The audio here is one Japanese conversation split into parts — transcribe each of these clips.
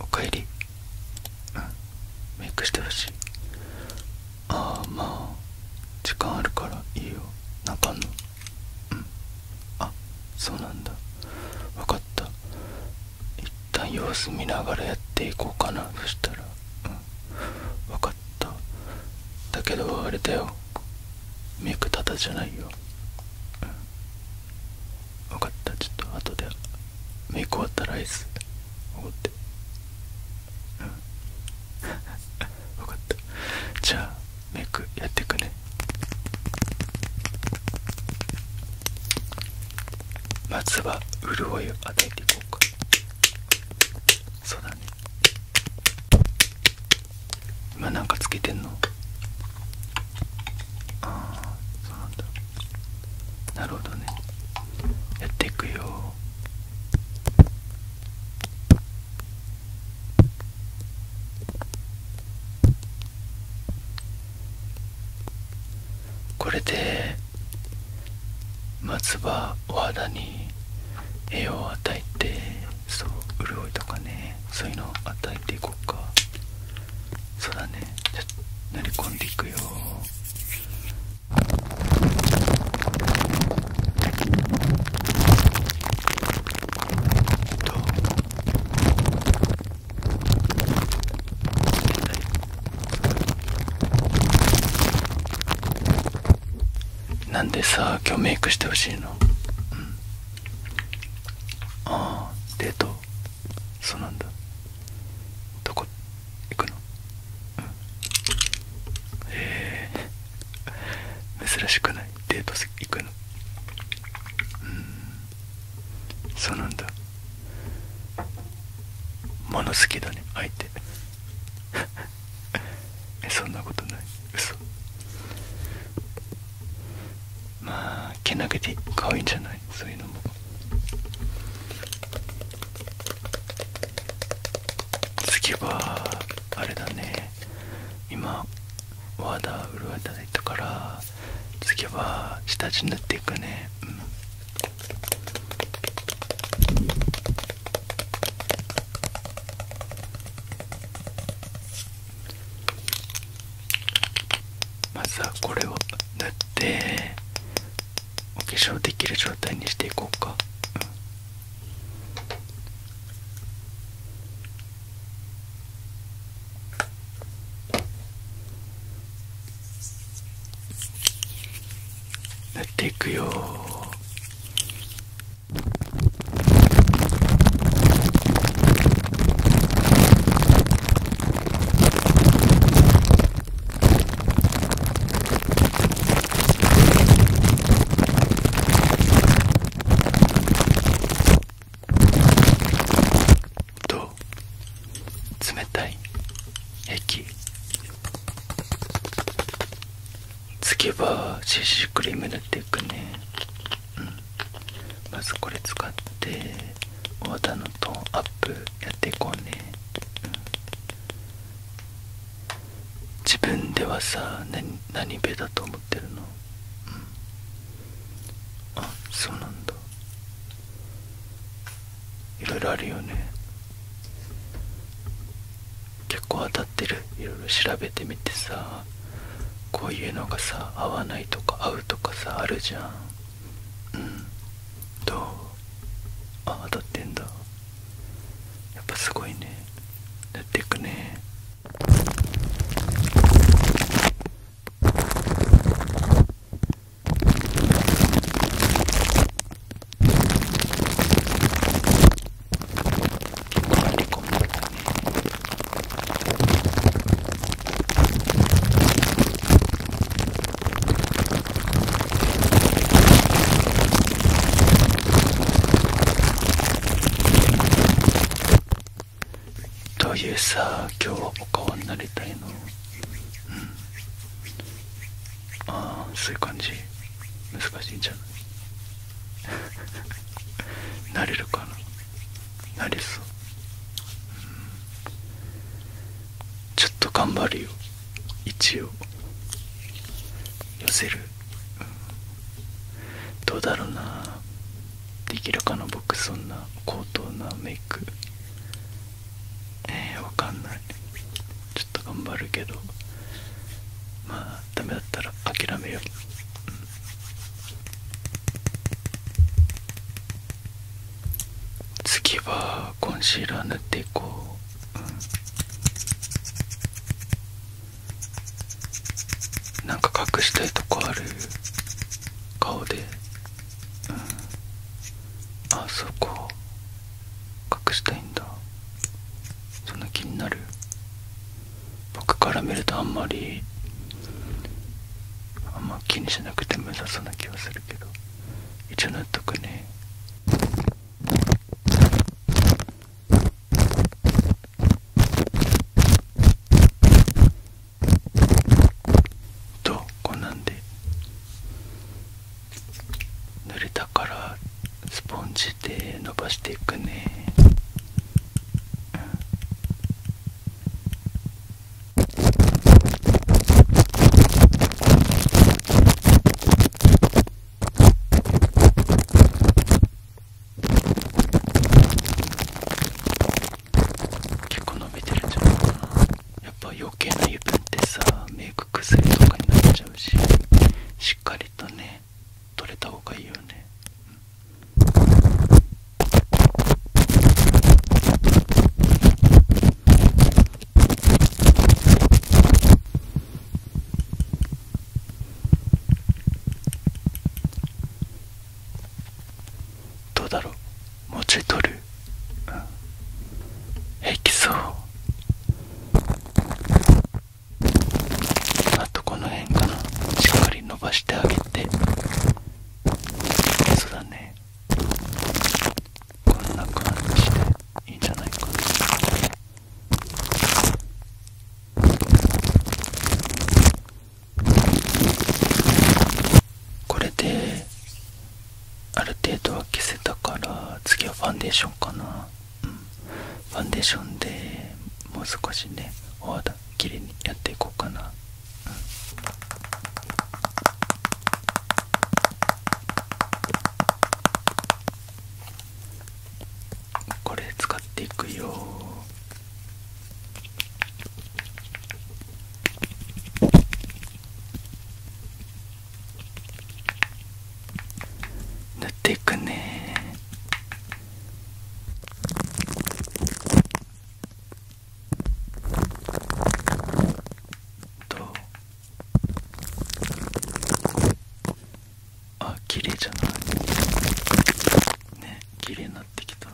おかえりうんメイクしてほしいああまあ時間あるからいいよなかんのうんあそうなんだわかった一旦様子見ながらやっていこうかなそしたらうん分かっただけどあれだよメイクタダじゃないよ、分かったちょっと後でメイク終わったらアイスおごって分かったじゃあメイクやってくねまずは潤いを与えていこうかそうだね今なんかつけてんのああそうなんだなるほどねやっていくよこれで松葉お肌に栄養を与えてそう潤いとかねそういうのを与えていこうかそうだねじゃ乗り込んでいくよどうなんでさ今日メイクしてほしいの、うん、ああデートそうなんだどこ行くの、へえ珍しくないデート行くのうんそうなんだもの好きだね相手 えそんなことない嘘まあ毛投げて可愛いんじゃないそういうのも次はあれだね今ワーダー潤いただいたから次は下地塗っていくねうんまずはこれを塗ってお化粧できる状態にしていこうか、うん塗っていくよどうと冷たい駅つけば CC クリーム塗っていくねうんまずこれ使ってお肌のトーンアップやっていこうね、うん、自分ではさ何べだと思ってるのうんあそうなんだいろいろあるよね結構当たってる色々調べてみてさこういうのがさ合わないとか合うとかさあるじゃんうんどうあ当たってんだやっぱすごいねやっていくねというさ今日はお顔になりたいのうんああそういう感じ難しいんじゃないなれるかななれそう、うん、ちょっと頑張るよ一応寄せる、どうだろうなできるかな僕そんな高等なメイクえー、わかんないちょっと頑張るけどまあダメだったら諦めよう、次はコンシーラー塗っていこう、うなんか隠したいとこある顔であそこ隠したいんだそんな気になる僕から見るとあんまりあんま気にしなくても良そうな気はするけど一応塗っとくねとこんなんで濡れたからスポンジで伸ばしていくね、うん結構伸びてるんじゃないかなやっぱ余計な油分ってさメイク崩れとかになっちゃうししっかりとね取れた方がいいよね、うん、どうだろう文字取る、うん、きそう。あとこの辺かなしっかり伸ばしてあげてそうだねこんな感じでいいんじゃないかなこれである程度は消せたから次はファンデーションかなファンデーションでもう少しねお肌きれいにやっていこうかな、これ使っていくよ塗っていくねどうあ綺麗じゃないね綺麗になってきた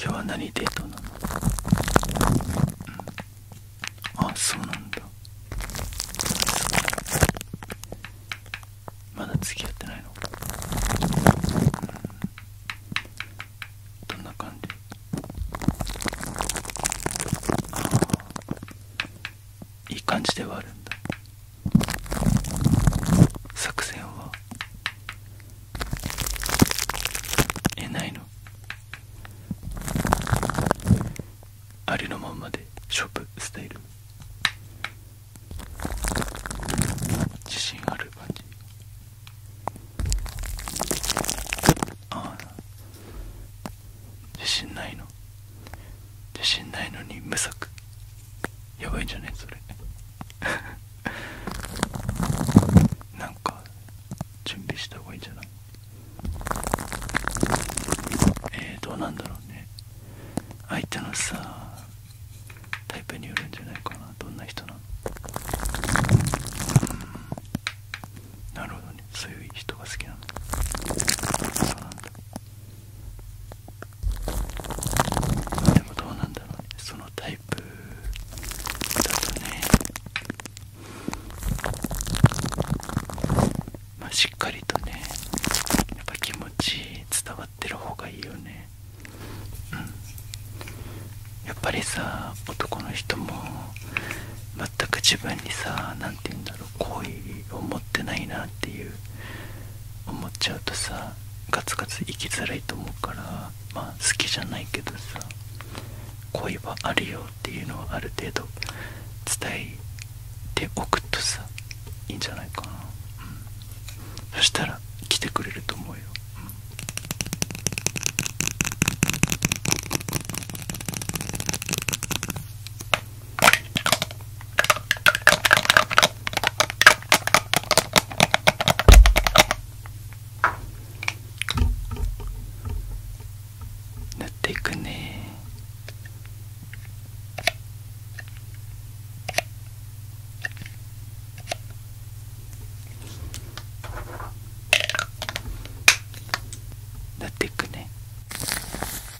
今日は何デートなの、うん、あそうなんだまだ付き合ってないの、どんな感じああいい感じではあるんだ作戦はえないのありのまんまで勝負スタイル自信ある感じああ自信ないの自信ないのに無策やばいんじゃね、いそれ なんか準備した方がいいんじゃないえー、どうなんだろうね相手のさタイプによるんじゃないかなどんな人なのうんなるほどねそういう人が好きなのそうなんだでもどうなんだろうねそのタイプだとねまあしっかりとねやっぱ気持ち伝わってる方がいいよねうんやっぱりさ男の人も全く自分にさ何何て言うんだろう好を持ってないなっていう思っちゃうとさガツガツ生きづらいと思うからまあ好きじゃないけどさ恋はあるよっていうのはある程度伝えておくとさいいんじゃないかな、うん、そしたら来てくれると思うよ、うん塗っていくね塗っていくね。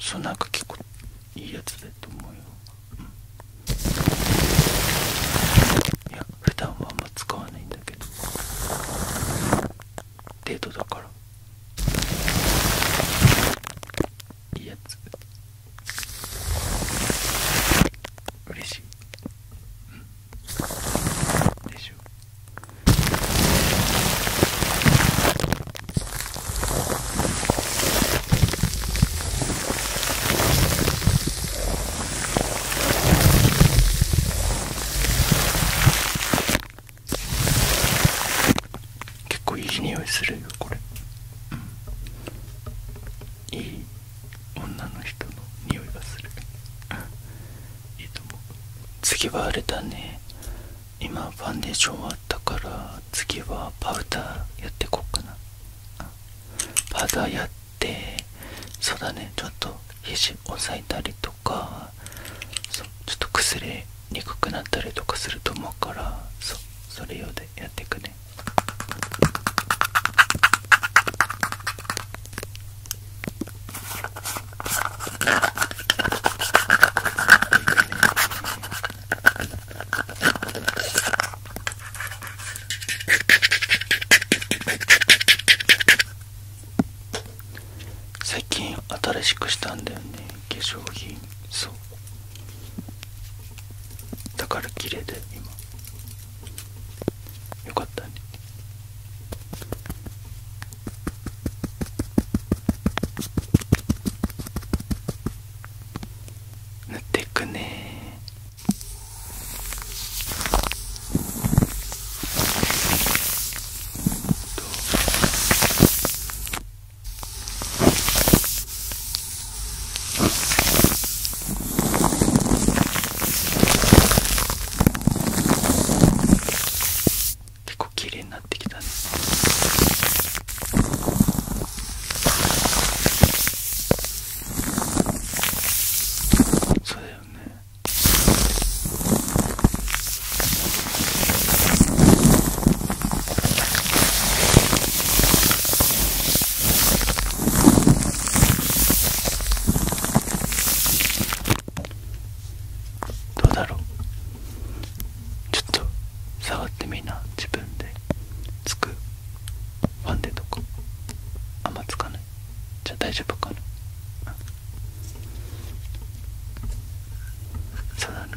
そうなんか結構いいやつだと思うよ、うん、いや普段はあんま使わないんだけどデートだからいいやつ嬉しい、うん、でしょ結構いい匂いするよこれ、うん、いい女の人の匂いがするいいと思う次はあれだね今ファンデーション終わったから次はパウダーやってこっかなパウダーやってそうだねちょっと肘押さえたりとかそうちょっと崩れにくくなったりとかすると思うからそうそれ用でやっていくね最近新しくしたんだよね化粧品そうだから綺麗で今よかったね塗っていくね結構綺麗なそうだよねどうだろうちょっと触ってみな自分でつくファンデとかあんまつかないじゃ大丈夫かなそうだね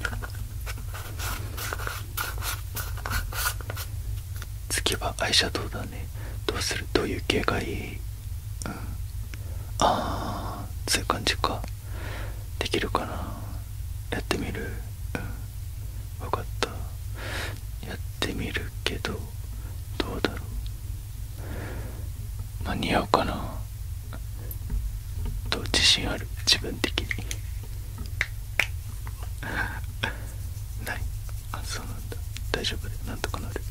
次はアイシャドウだねどうするどういう系がいいうんああそういう感じかできるかなやってみるうん分かったやってみるけどどうだろう間に合うかなと自信ある自分的に ないあそうなんだ大丈夫でなんとかなる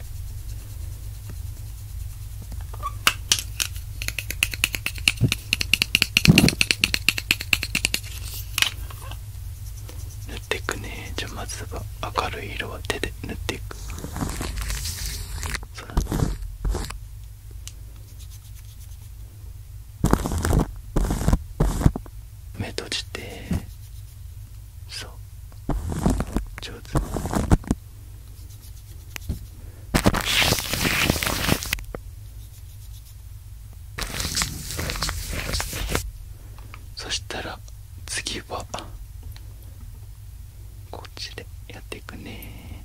塗っていくねじゃあまずは明るい色は手で塗っていくそうだ目閉じてそう上手そしたら次はこっちでやっていくね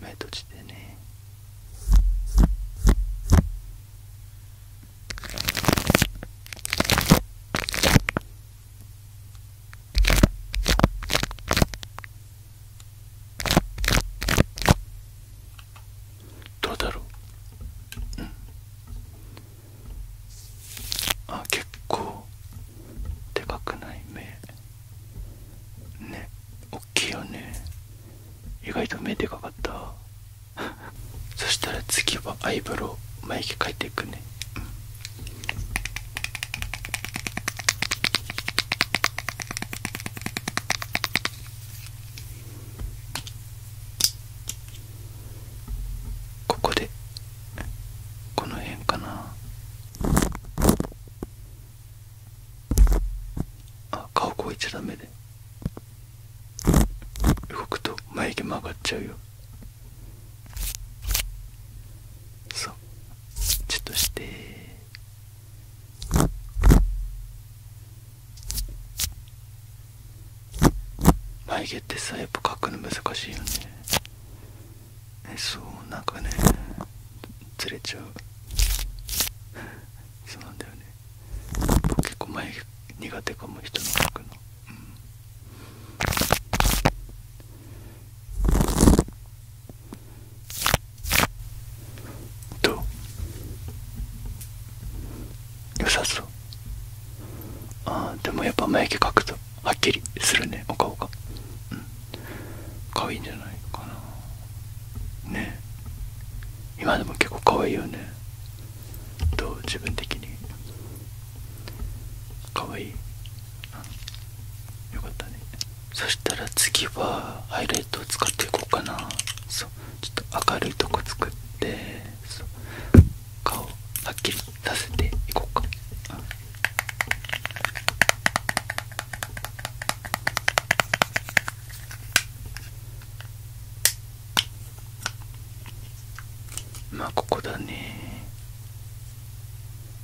目閉じてねどうだろう、うん、あ結構でかくない目ねおっきいよね意外と目でかかったそしたら次はアイブロウ眉毛描いていくね、うん、ここでこの辺かなあ顔こいちゃダメで動くと眉毛曲がっちゃうよそうちょっとして眉毛ってさやっぱ描くの難しいよねえそうなんかねずれちゃうそうなんだよね結構眉毛苦手かも人の描くの、うんどう良さそうああでもやっぱ眉毛描くとはっきりするねお顔がうん可愛いんじゃないかなねえ。今でも結構可愛いよねどう自分的にかわいいよかったねそしたら次はハイライトを使っていこうかなちょっと明るいとこ作ってそう顔はっきりさせていこうかまあここだね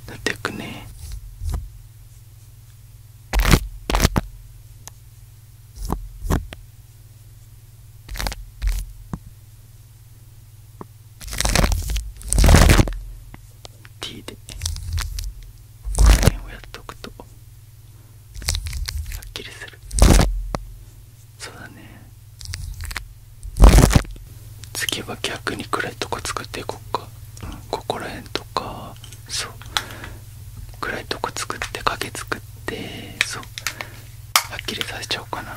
塗っていくねティーでこの辺をやっとくと。すっきりするそうだね次は逆に暗いとこ作っていこうか、うん、ここら辺とかそう暗いとこ作って影作ってそうはっきりさせちゃおうかなん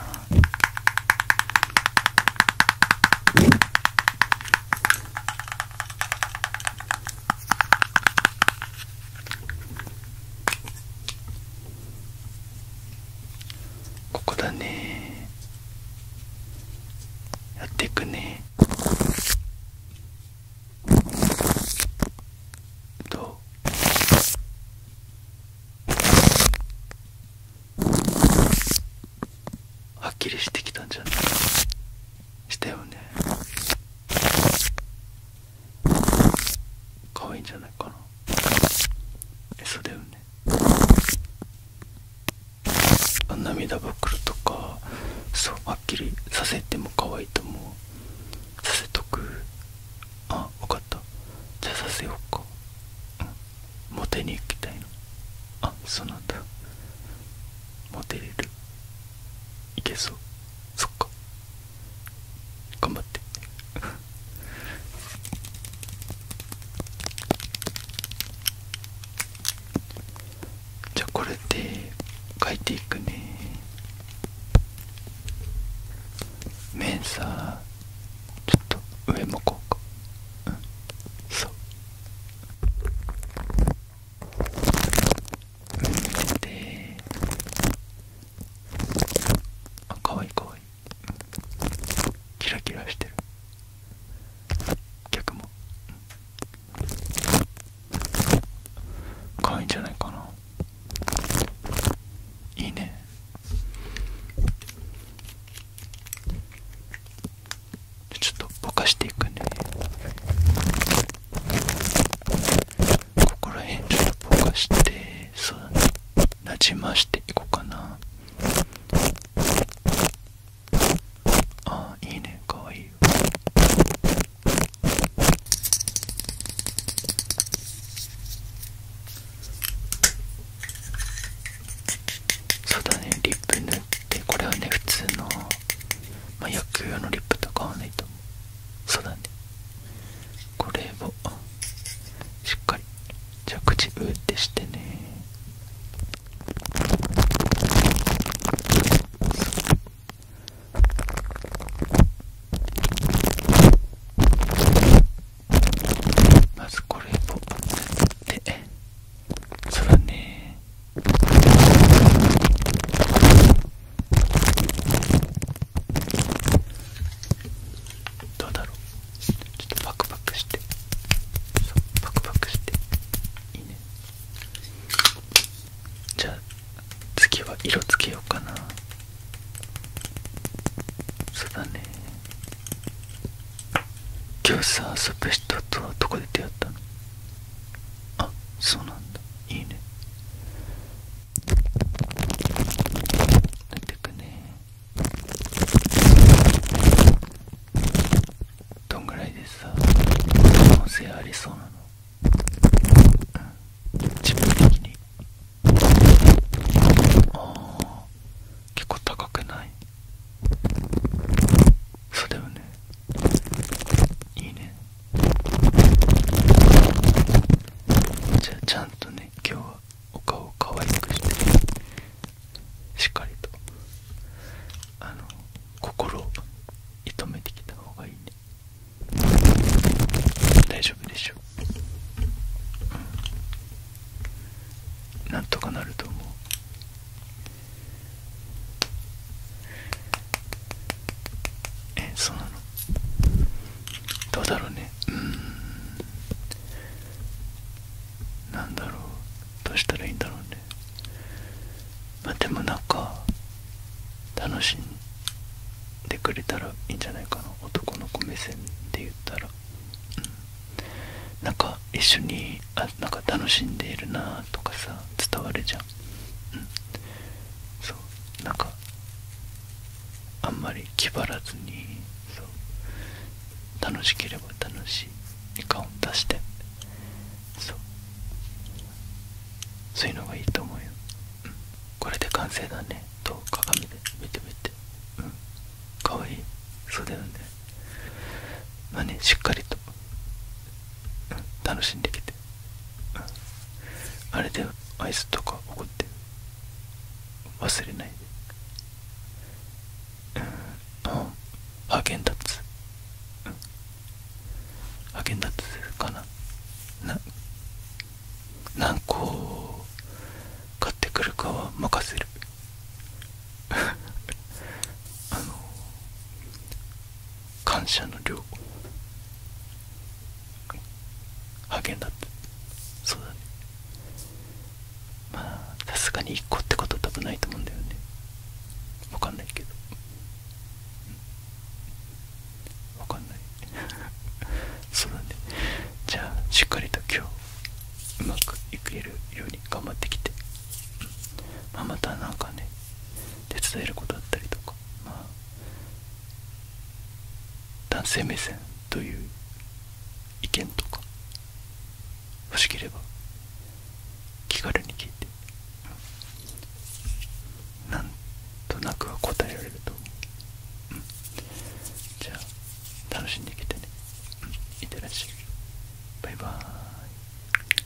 ここだねやっていくねどうはっきりしてきたんじゃないしたよね可愛いんじゃないかなえそうだよね涙袋とかそうはっきりさせても可愛いと思うさせとくあ分かったじゃあさせようかモテに行きたいのあそうなんだモテれる行けそうそっか頑張ってじゃあこれで書いていくね面さちょっと上向こうかうんそうであかわいいかわいいキラキラしてる逆もかわいいんじゃないかないいねちょっとぼかしていくねここら辺ちょっとぼかしてそうだねなじましていこうかなあいいねかわいいよそうだねリップ塗ってこれはね普通のまあ野球用のリップとかはないとそうだねこれをしっかり着地うってしてねまずこれを塗そうだねどうだろうちょっとパクパクしてパクパクしていいねじゃあ次は色つけようかなそうだね今日さ遊ぶ人とはどこで出会ったのあそうなんだいいね出てくねどんぐらいでさ可能性ありそうなの、うん、自分的にああ結構高くないそうだよねいいねじゃあちゃんとね今日はお顔を可愛くしてしっかりとあの心を射止めてきた方がいいね大丈夫でしょう、なんとかなると思うえそうなのどうだろうねうんなんだろうどうしたらいいんだろうねまあでもなんか楽しんでくれたらいいんじゃないかな男の子目線で言ったらうんなんか一緒にあなんか楽しんでいるなとかさ伝わるじゃん、うん、そうなんかあんまり気張らずにそう楽しければ楽しい感を出してそうそういうのがいいと思うよ、これで完成だねと鏡で見てみてうんかわいいそうだよねまあねしっかりと、楽しんできてあれでアイスとか怒って忘れないでうんあげんゲつ。あげんハつゲンダッツかなな何個買ってくるかは任せるあの 感謝の量励んだってそうだねまあさすがに1個ってことは多分ないと思うんだよねわかんないけどわかんない そうだねじゃあしっかりと今日うまくいけるように頑張ってきて、まあ、またなんかね手伝えることだったりとか、男性目線という意見とか欲しければ気軽に聞いてなんとなくは答えられると思う、じゃあ楽しんでいけてね、うん、いってらっしゃいバイバーイ